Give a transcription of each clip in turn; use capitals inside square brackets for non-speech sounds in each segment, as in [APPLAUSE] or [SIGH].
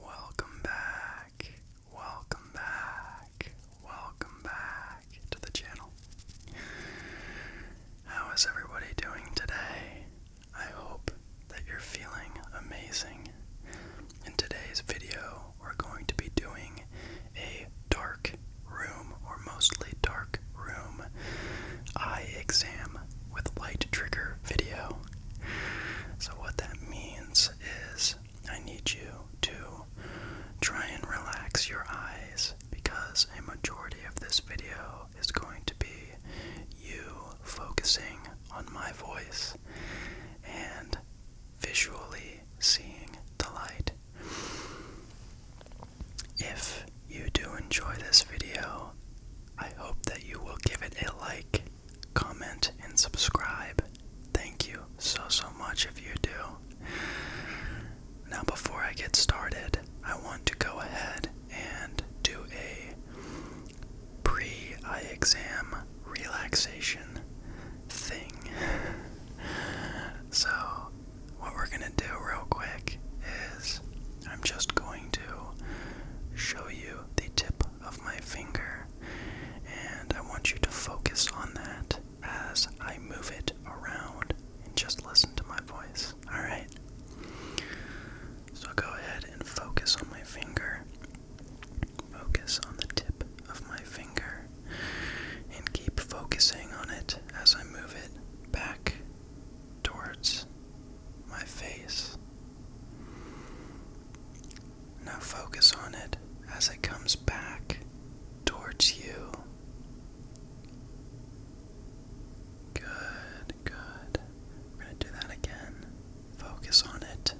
Welcome back, welcome back, welcome back to the channel. How is everybody doing today? I hope that you're feeling amazing. In today's video, we're going to be doing a dark room or mostly dark dark room eye exam with light trigger video. So, what that means is I need you to try and relax your eyes because a majority of this video is going to be you focusing on my voice and visually seeing the light. If you do enjoy this video, I hope that you will give it a like, comment, and subscribe. Thank you so, so much if you do. Now, before I get started, I want to go ahead and do a pre eye exam relaxation thing. [LAUGHS] so, what we're gonna do real quick is I'm just going to show you the tip of my finger, and I want you to focus on that as I move it around and just listen to my voice. Alright? So go ahead and focus on my finger. Focus on the tip of my finger and keep focusing on it as I move it back towards my face. Now focus on it as it comes back towards you. Good, good. We're going to do that again. Focus on it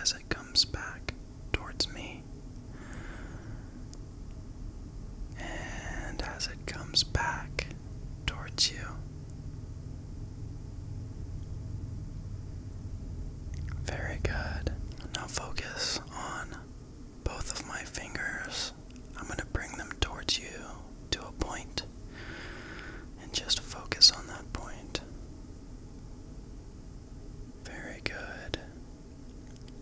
as it comes back towards me. And as it comes back towards you, very good. Now focus on both of my fingers. I'm going to bring them towards you to a point and just focus on that point. Very good.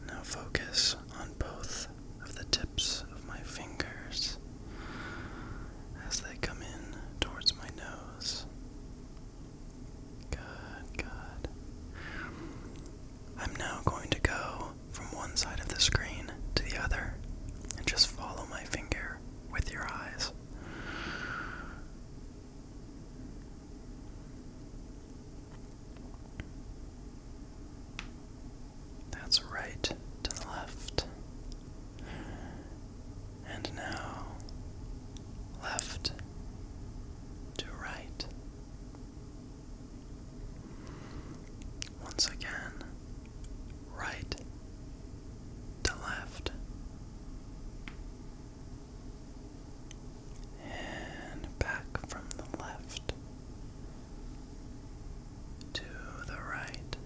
Now focus on both of the tips of my fingers as they come in towards my nose. Good, good. I'm now going to go from one side of the screen to the other and just follow my finger with your eyes. That's right to the left. And now, left to right. Once again, right to left. And back from the left to the right.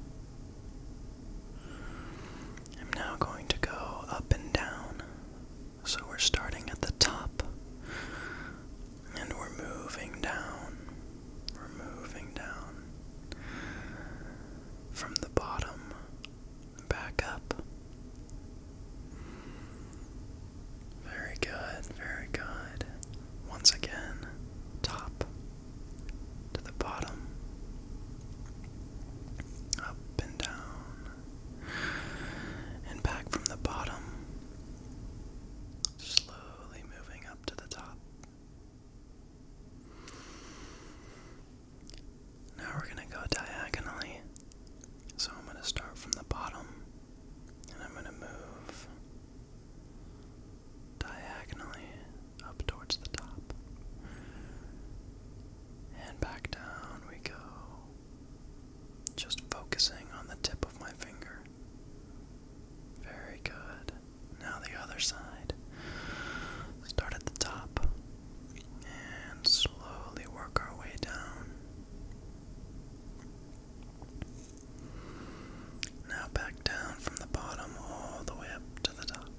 I'm now going to go up and down. So we're starting at the top and we're moving down. We're moving down from the bottom back up. Very good, very good. Once again, top to the bottom, up and down, and back from the bottom, slowly moving up to the top. Now we're going to go diagonally. So I'm going to start from the bottom and I'm going to move diagonally up towards the top. And back down we go. Just focusing on the tip of my finger. Very good. Now the other side. Start at the top and slowly work our way down. Now back down from the bottom all the way up to the top.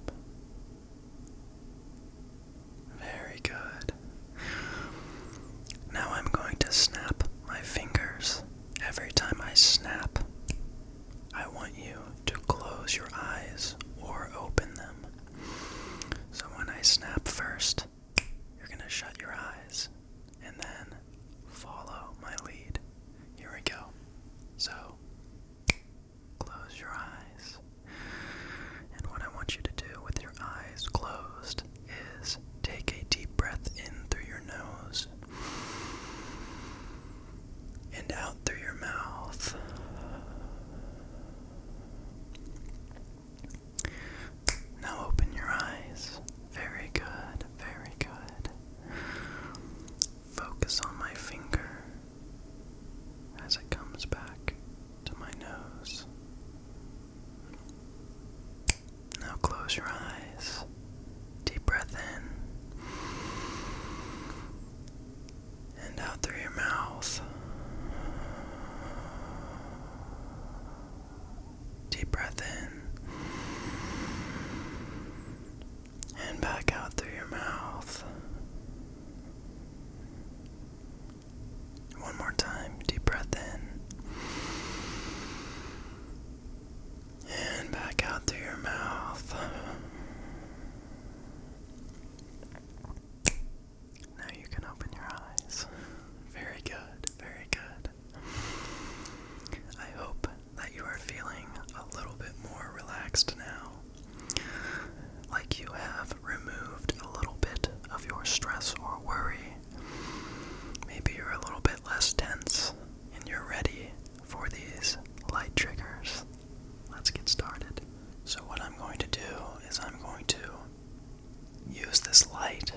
Very good. Now I'm going to snap my fingers. Every time I snap, I want you to close your eyes or open them. So when I snap first, you you're going to shut your eyes and then follow my lead. Here we go. So, close your eyes. And what I want you to do with your eyes closed is take a deep breath in through your nose and out through your mouth. Now open your eyes. Very good, very good. Focus on my finger as it comes back to my nose. Now close your eyes. Deep breath in. And out through your mouth. Deep breath in and back out through your mouth. One more time. Deep breath in and back out through your mouth. Now you can open your eyes. Very good, very good. I hope that you are feeling a little bit more relaxed now. Like you have removed a little bit of your stress or worry. Maybe you're a little bit less tense and you're ready for these light triggers. Let's get started. So, what I'm going to do is I'm going to use this light.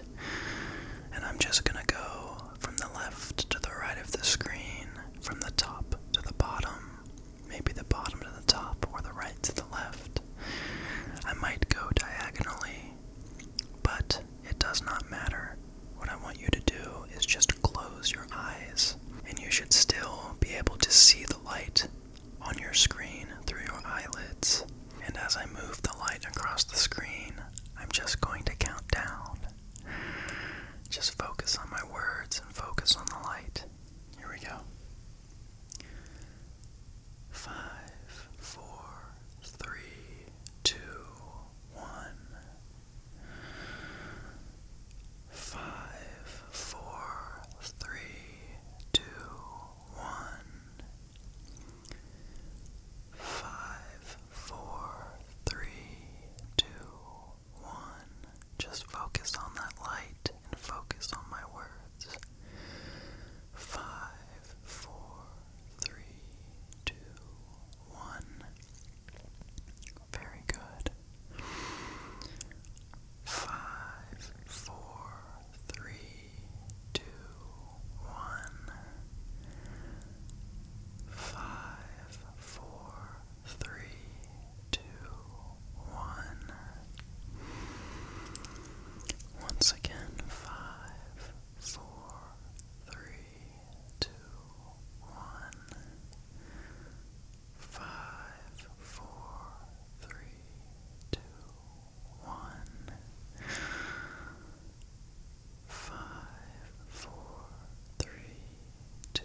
And I'm just gonna go from the left to the right of the screen, from the top to the bottom, maybe the bottom to the top, or the right to the left. I might go diagonally, but it does not matter. What I want you to do is just close your eyes, and you should still be able to see the light on your screen through your eyelids. And as I move the light across the screen, I'm just going to count down. Just focus on my words and focus on the light. Here we go. Five, four, three, two, one. Five, four, three, two, one. Five, four, three, two, one. Just focus on that light and focus on my words. Five, four, three, two, one. Very good. Five, four, three, two, one, five, four, three, two, one. Once again, five, four, three, two, one, five, four, three, two, one, five, four, three, two,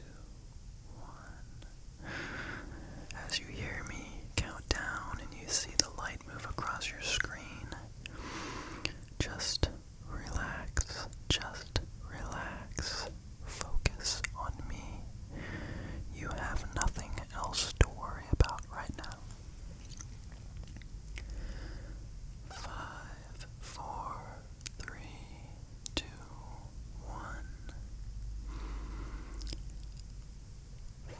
one. As you hear me count down and you see the light move across your screen, just relax, just relax. Focus on me. You have nothing else to worry about right now. Five, four, three, two, one.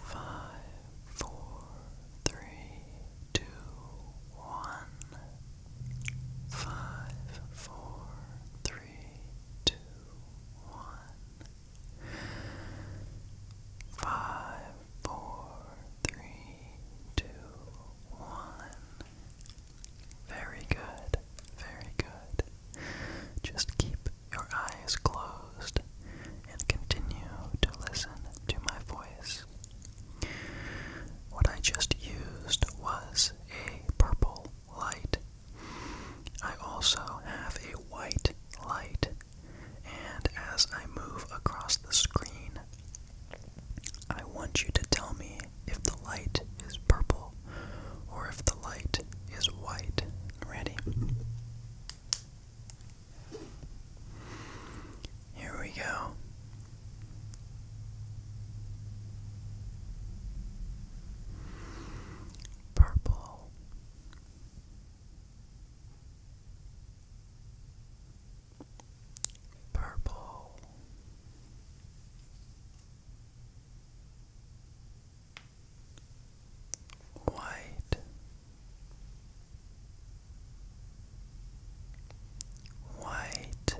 Five, four, three, two, one. Five, four, three, two, one. Five, four, three, two, one. Very good, very good. Just keep your eyes closed and continue to listen to my voice. What I just used was a purple light. I also have a white light and as I move across the screen, I want you to tell me if the light is purple or if the light is white. Ready? Here we go. Purple, Purple. White, white,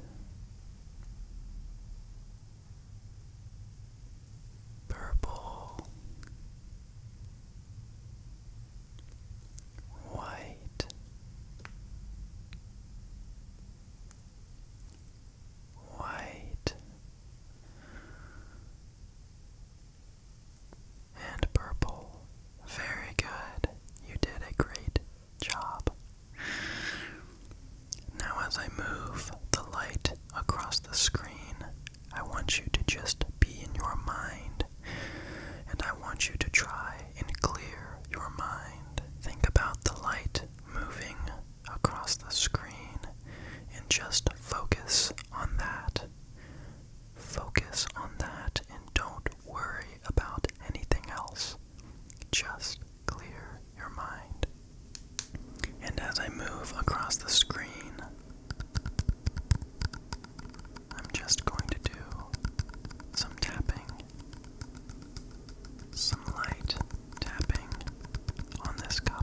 purple, white, white, and purple. Very good. You did a great job. Now, as I move the light across the screen, I want you to just be in your mind. And I want you to try and clear your mind. Think about the light moving across the screen and just focus on that. Focus on that and don't worry about anything else. Just clear your mind. And as I move across the screen, I'm just going to do some tapping, some light tapping on this cup.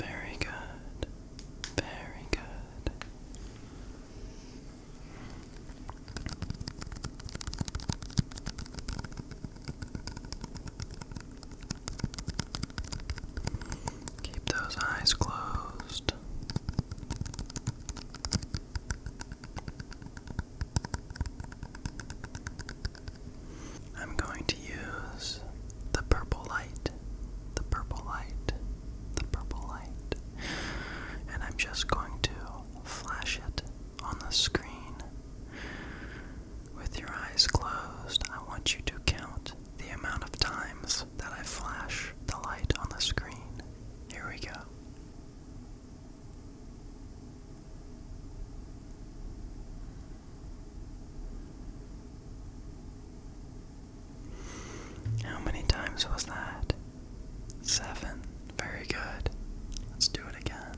Very good. Very good. Keep those eyes closed. I'm going to use the purple light, the purple light, the purple light, and I'm just going to flash it on the screen. With your eyes closed, I want you to count the amount of times that I flash the light on the screen. Here we go. How many times was that? Seven. Very good. Let's do it again.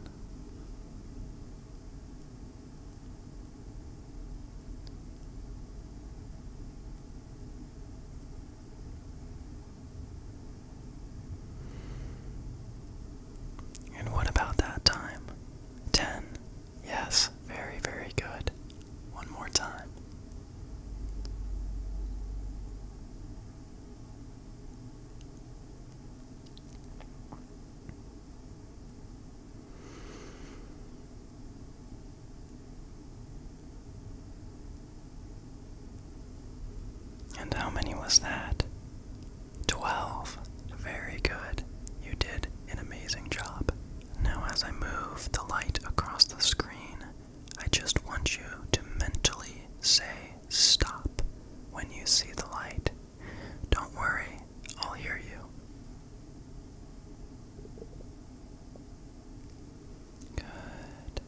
And what about that time? 10. Yes, very, very good. One more time. And how many was that? Twelve. Very good. You did an amazing job. Now, as I move the light across the screen, I just want you to mentally say stop when you see the light. Don't worry, I'll hear you. Good.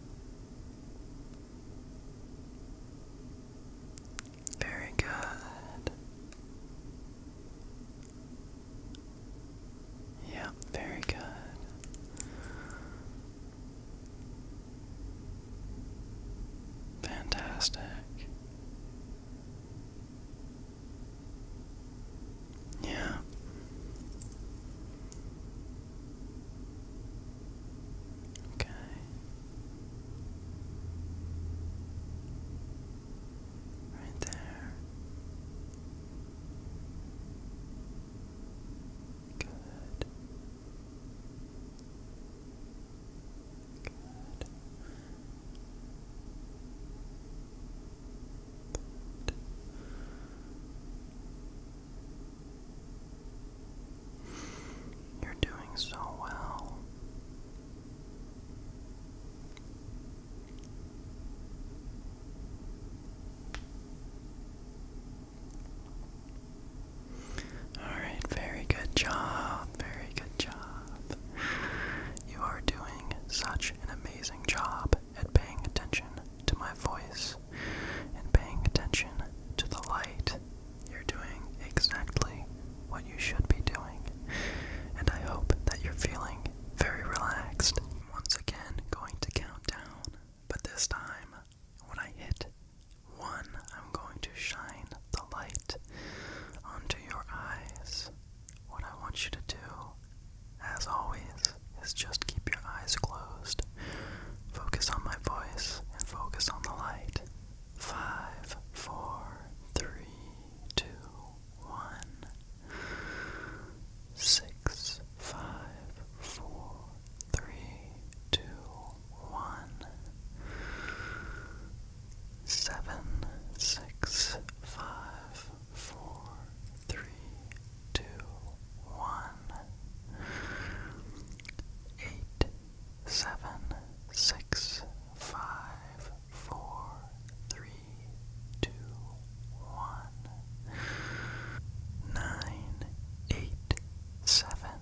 Very good. Yeah, very good. Fantastic. Yeah. Okay. Right there. Good. Good. Good. You're doing so well. All right, very good job. Very good job. You are doing such an amazing job at paying attention to my voice and paying attention to the light, you're doing exactly what you should be doing. And I hope that you're feeling very relaxed. Once again, going to count down, but this time, when I hit one, I'm going to shine the light onto your eyes. What I want you to do as always, is just keep your eyes closed. Focus on my voice and focus on the light. Five, four, three, two, one. Six, five, four, three, two, one. Seven, six, five, four, three, two, one one eight seven six five four three two one nine eight seven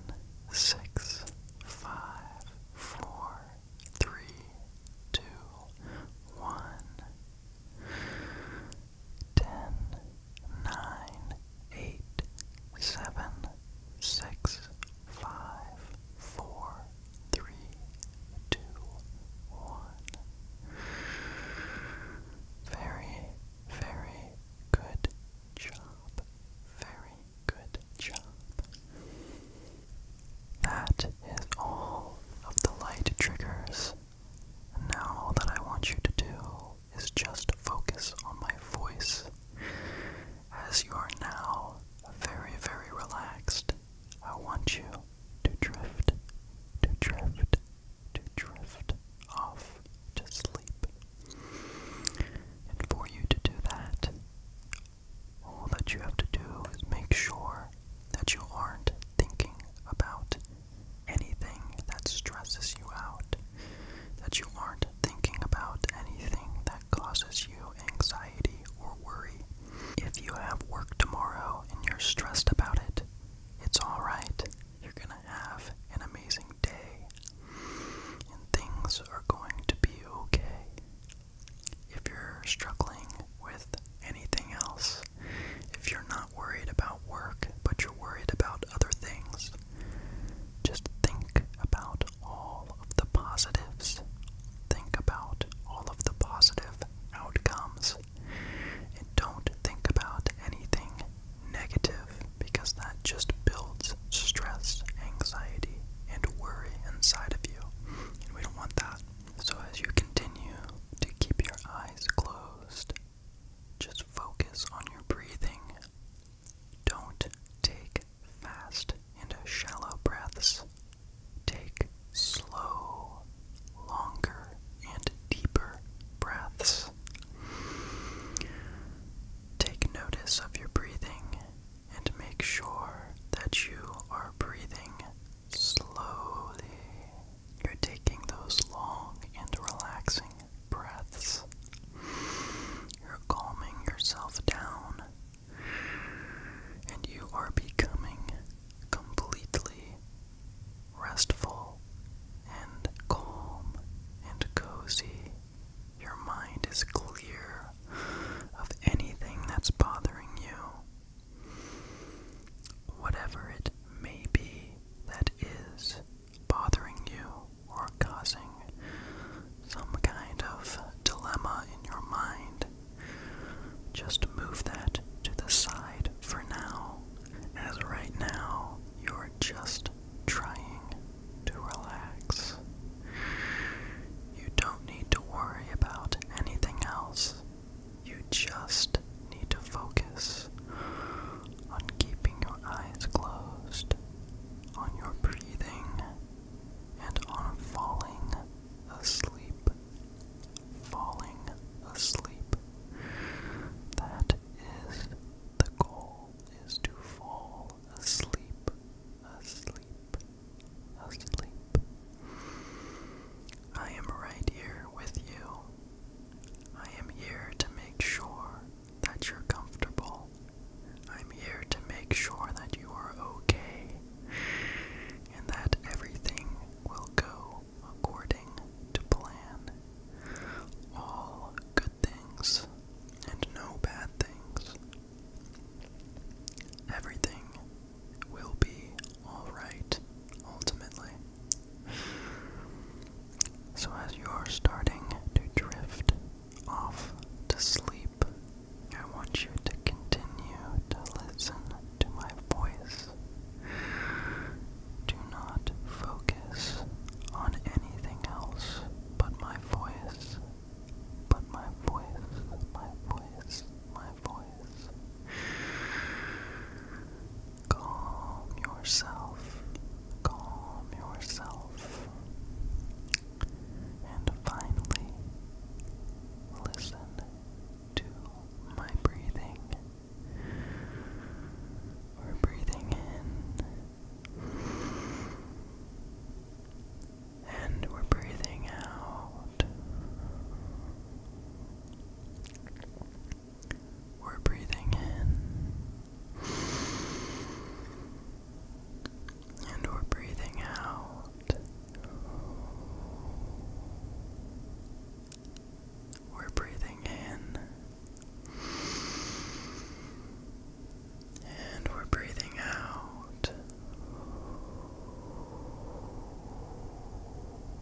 six five four three two one ten, nine, eight, seven, six, five, four, three, two, one. Very, very good job. Very good job. That is all of the light triggers now all that I want you to do is just focus on my voice. As you are now very, very relaxed, I want you to drift, to drift, to drift off to sleep. And for you to do that, all that you have to do is make sure that you aren't thinking about anything that stresses you out, that you aren't thinking about anything that causes you anxiety or worry. If you have work tomorrow and you're stressed about it, it's alright. You're gonna have an amazing day, and things are going to be okay. If you're struggling with anything else, if you're not worried about work, but you're worried about other things, just think about all of the positives. Think about all of the positive outcomes. And don't think about anything negative because that just builds stress, anxiety, and worry inside of you. And we don't want that. So as you continue to keep your eyes closed. Just focus on your breathing. Don't take fast and shallow breaths. Take slow, longer, and deeper breaths. Take notice of your breathing and make sure that you are breathing Slowly, you're taking those long and relaxing breaths. You're calming yourself down, and you are becoming completely restful and calm and cozy. Your mind is clear of anything that's bothering you. Whatever it may be that is bothering you or causing some kind of dilemma in your mind, just move that to the side for now, as right now you're just trying to relax. You don't need to worry about anything else. You just need to focus on keeping your eyes closed, on your breathing, and on falling asleep. Falling asleep. That is the goal is to fall asleep, asleep, asleep. I am right here with you. I am here to make sure that you're comfortable. I'm here to make sure that you are okay and that everything will go according to plan. All good things and no bad things. Everything will be alright ultimately. So, as you're starting to drift off to sleep, I want you to continue to listen to my voice. Do not focus on anything else but my voice. But my voice, my voice my voice. Calm yourself. Calm yourself. And finally, listen to my breathing. We're breathing in. And we're breathing out. We're breathing in. And we're breathing out. We're breathing in. And we're breathing out.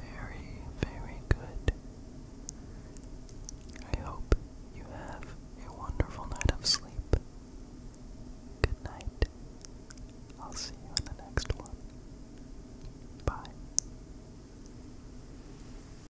Very, very good. I hope you have a wonderful night of sleep. Good night. I'll see you in the next one. Bye.